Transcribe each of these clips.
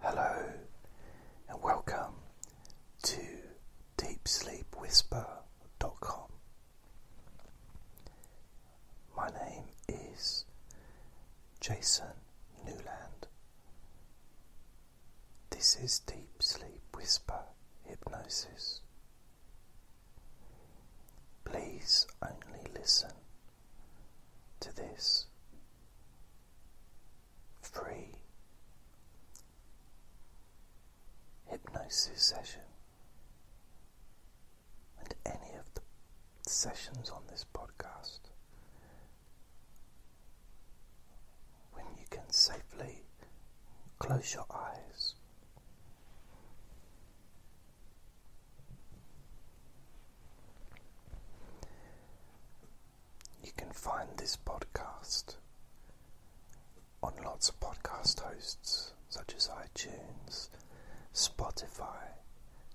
Hello and welcome to DeepSleepWhisper.com. My name is Jason Newland. This is Deep Sleep Whisper Hypnosis. Please only listen to this free hypnosis session and any of the sessions on this podcast when you can safely close your eyes. You can find this podcast on lots of podcast hosts such as iTunes, Spotify,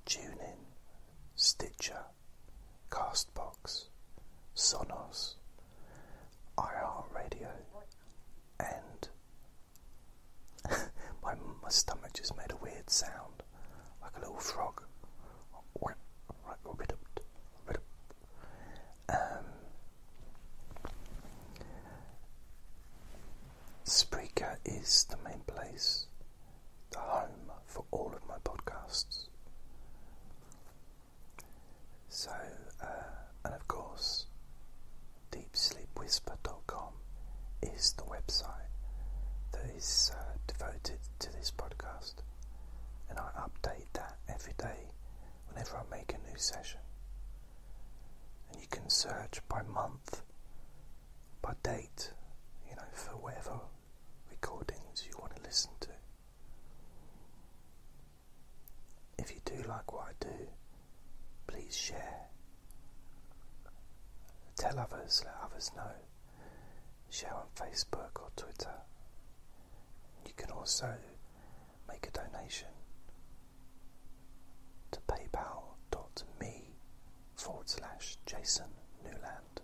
TuneIn, Stitcher, Castbox, Sonos, iHeartRadio, and my, my stomach just made a weird sound like a little frog. Right, rid up, rid up. Um, Spreaker is the main place, the home for all of my podcasts. So, uh, and of course, deepsleepwhisper.com is the website that is uh, devoted to this podcast, and I update that every day whenever I make a new session. And you can search by month, by date, you know, for whatever recordings you want to listen to. If you do like what I do, please share. Tell others, let others know share on Facebook or Twitter. You can also make a donation to paypal.me forward slash Jason Newland.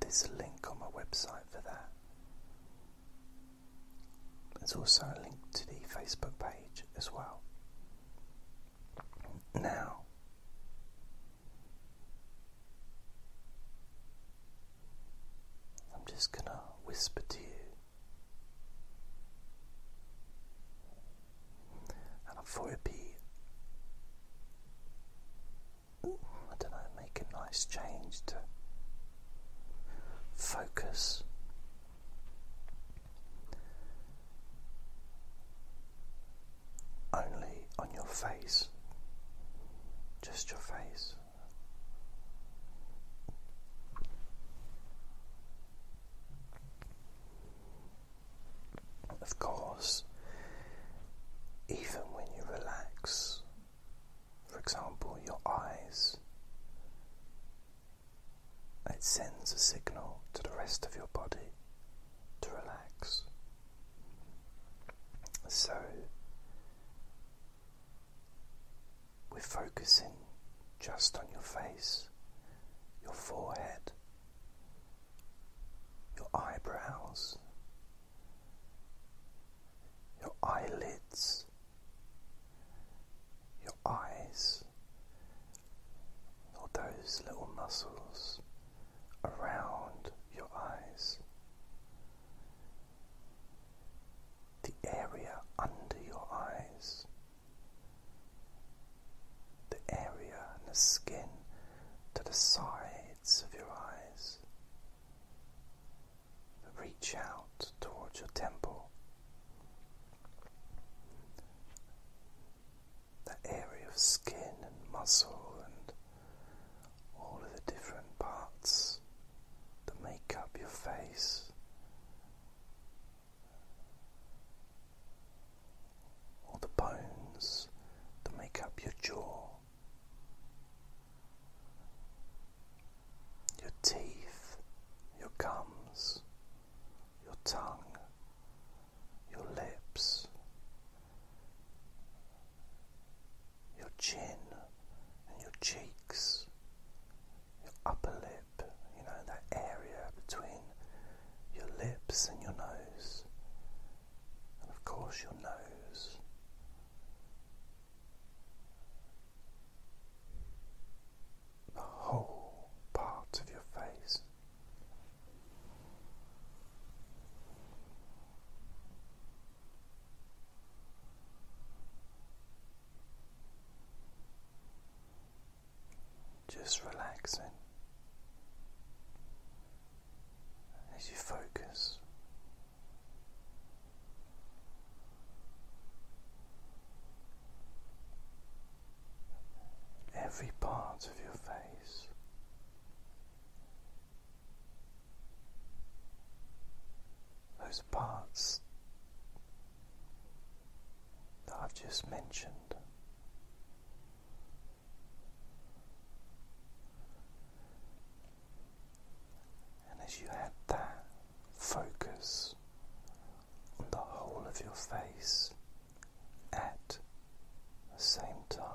There's a link on my website for that. There's also a link to the Facebook page as well. Now, I'm just going to whisper to you, and I thought it'd be, I don't know, make a nice change to focus only on your face, just your face. Of course, even when you relax, for example, your eyes, it sends a signal to the rest of your body to relax. So we're focusing just on your face, your forehead, your eyebrows, your eyelids, your eyes, or those little muscles around your eyes, the area under your eyes, the area and the skin to the sides of your eyes. Reach out towards your temple that area of skin and muscle and all of the different parts that make up your face. Or the bones that make up your jaw, your teeth, your gums, your tongue, your lips, your chin, and your cheeks, your upper lip, you know, that area between your lips and your nose, and of course, your nose. The whole part of your face. Just relaxing as you focus every part of your face. Those parts that I've just mentioned. And as you had that focus on the whole of your face, at the same time.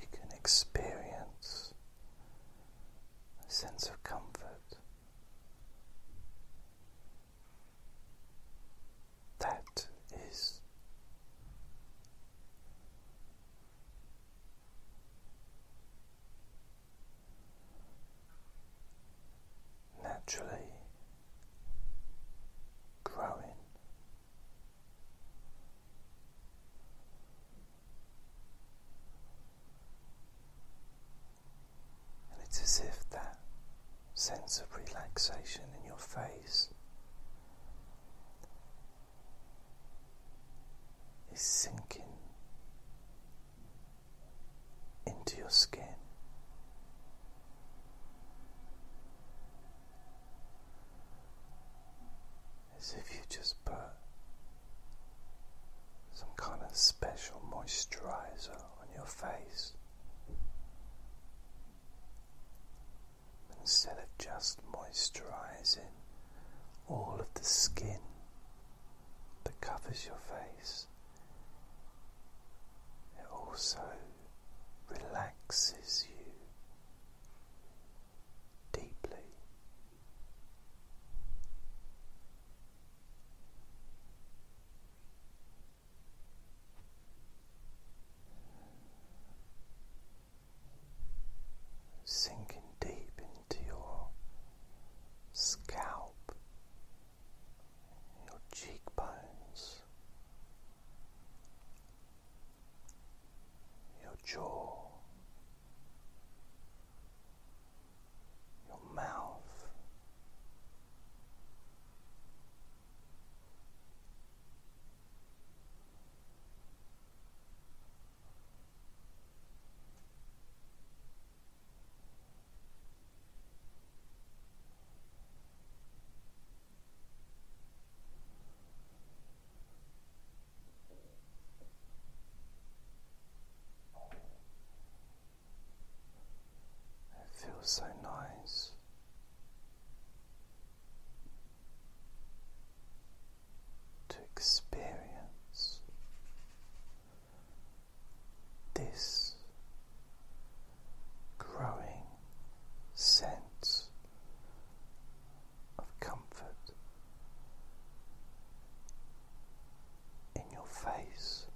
You can experience a sense of comfort that is naturally growing. And it's as if that sense of relaxation in your face is sinking into your skin. As if you just put some kind of special moisturizer on your face instead of just moisturizing all of the skin that covers your face. It also relaxes you deeply. Sinking deep into your scalp, your cheekbones, your jaw, your mouth, it feels so nice. To experience this growing sense of comfort in your face.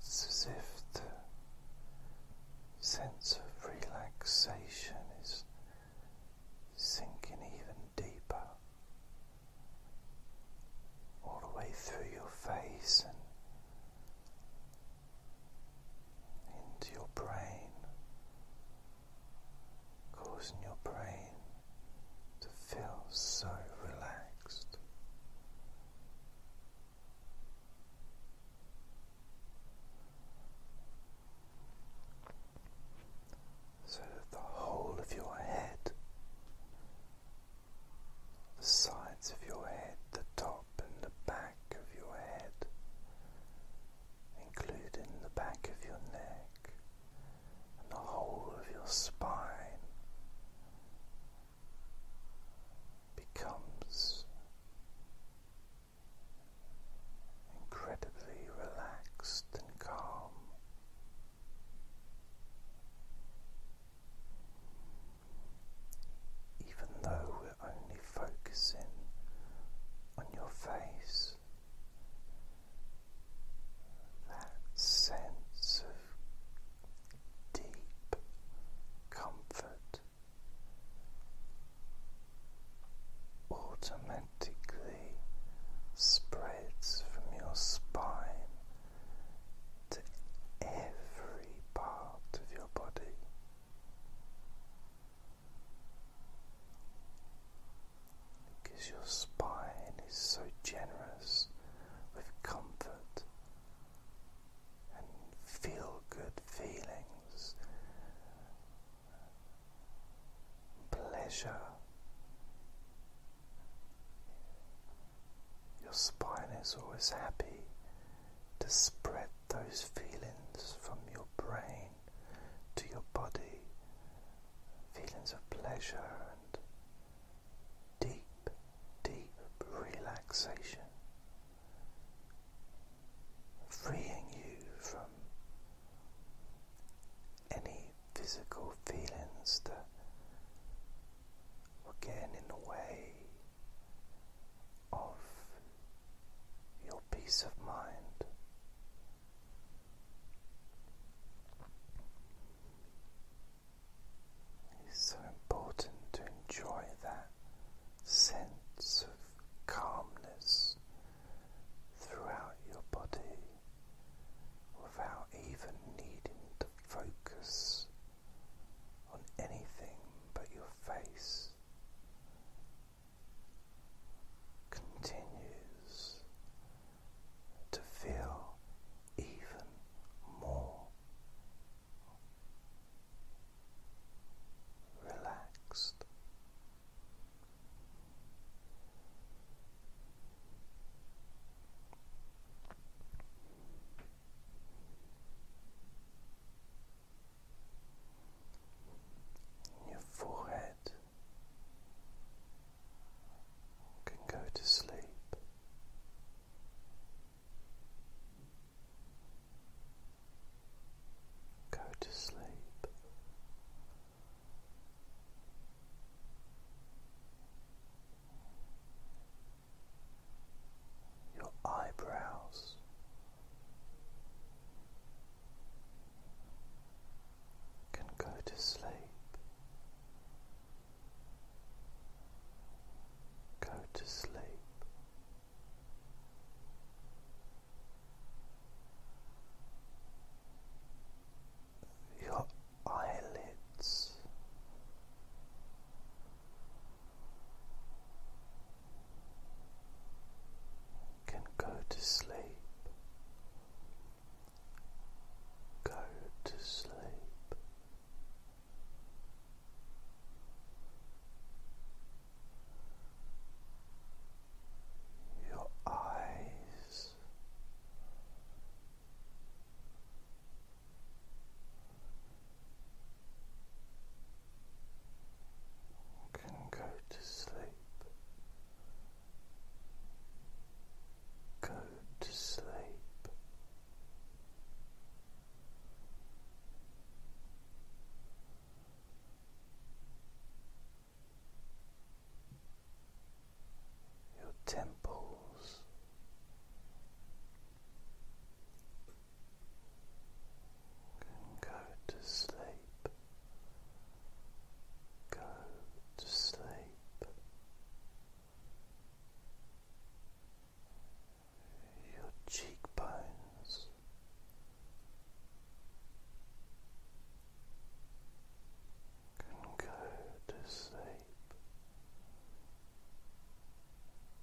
It's as if the sense of relaxation is sinking even deeper all the way through your face and into your brain causing your brain to feel so relaxed. So that the whole of your head, the sides of your head, the top and the back of your head, including the back of your neck and the whole of your spine, becomes incredibly relaxed and calm. Even though only focusing on your face, that sense of deep comfort automatically spreads from your spine to every part of your body because your spine is so generous with comfort and feel good feelings, pleasure. Your spine is always happy to spread those feelings from your brain to your body, feelings of pleasure and deep, deep relaxation, freeing you from any physical feelings that were getting in the way of your peace of mind. is so important to enjoy that sense of calmness throughout your body without even needing to focus on anything but your face continues to feel even more relaxed your forehead can go to sleep. Go to sleep. Your eyebrows can go to sleep, go to sleep. Your eyelids can go to sleep, go to sleep. Your eyes can go to sleep, go to sleep. Your temples, can go to sleep, go to sleep. Your cheekbones, can go to sleep,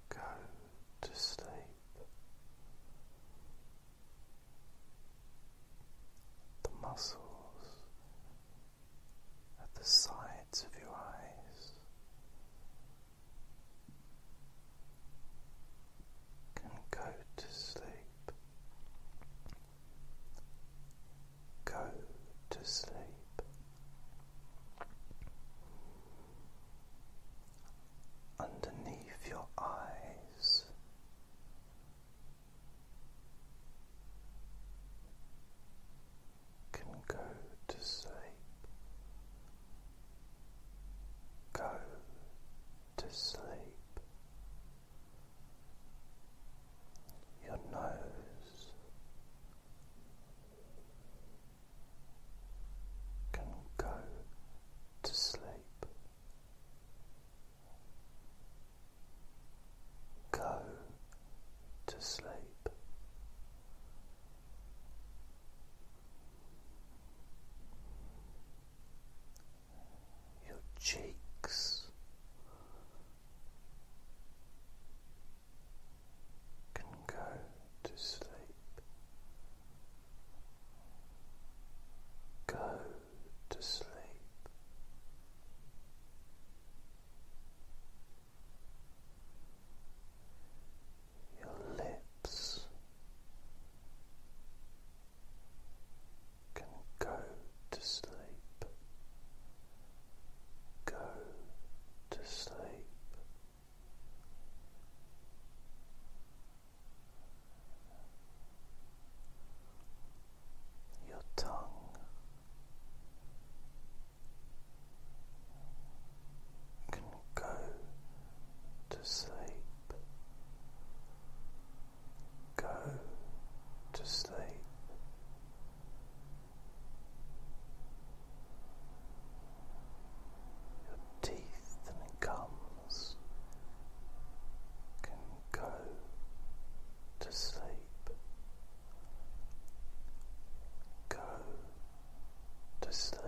go to sleep the muscles at the sides of your eyes can go to sleep, go to sleep underneath your eyes. Can go to sleep, go to sleep. Your nose can go to sleep. Go to sleep. Your cheeks can go to sleep. Go to sleep. Your lips can go to sleep. Go to sleep your tongue can go to sleep, go to sleep your teeth and gums can go to sleep. Go to sleep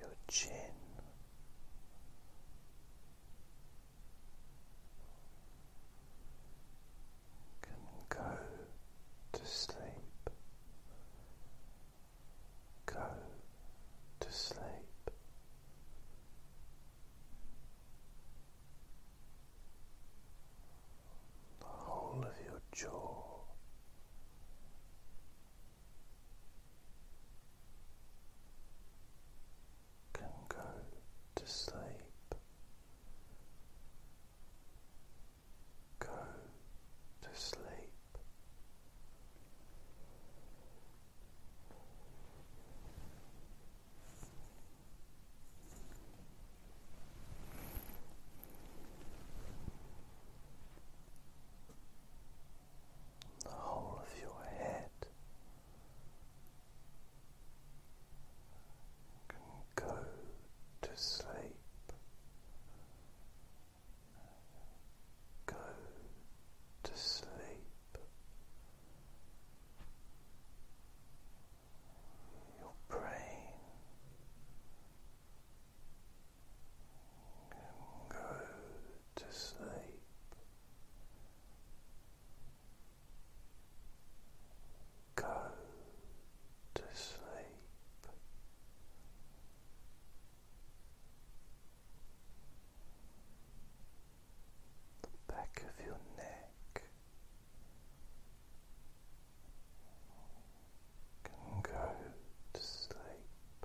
your chin. Can go to sleep, go to sleep the whole of your jaw. Can go to sleep, go to sleep the whole of your head can go to sleep, go to sleep. Your brain go to sleep. Go to sleep. The back of your neck can go to sleep,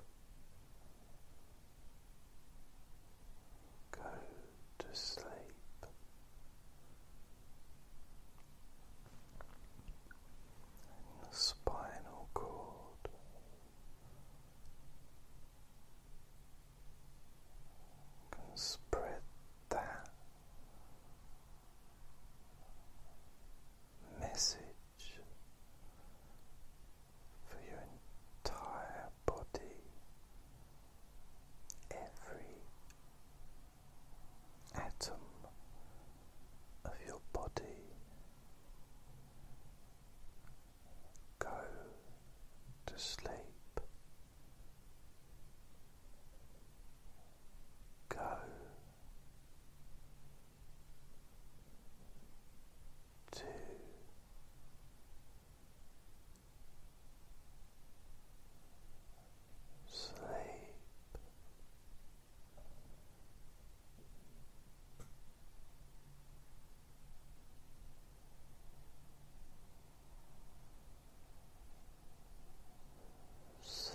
go to sleep. the spinal cord can spread that message for your entire body, every atom of your body. Go to sleep go. Two, sleep, sleep.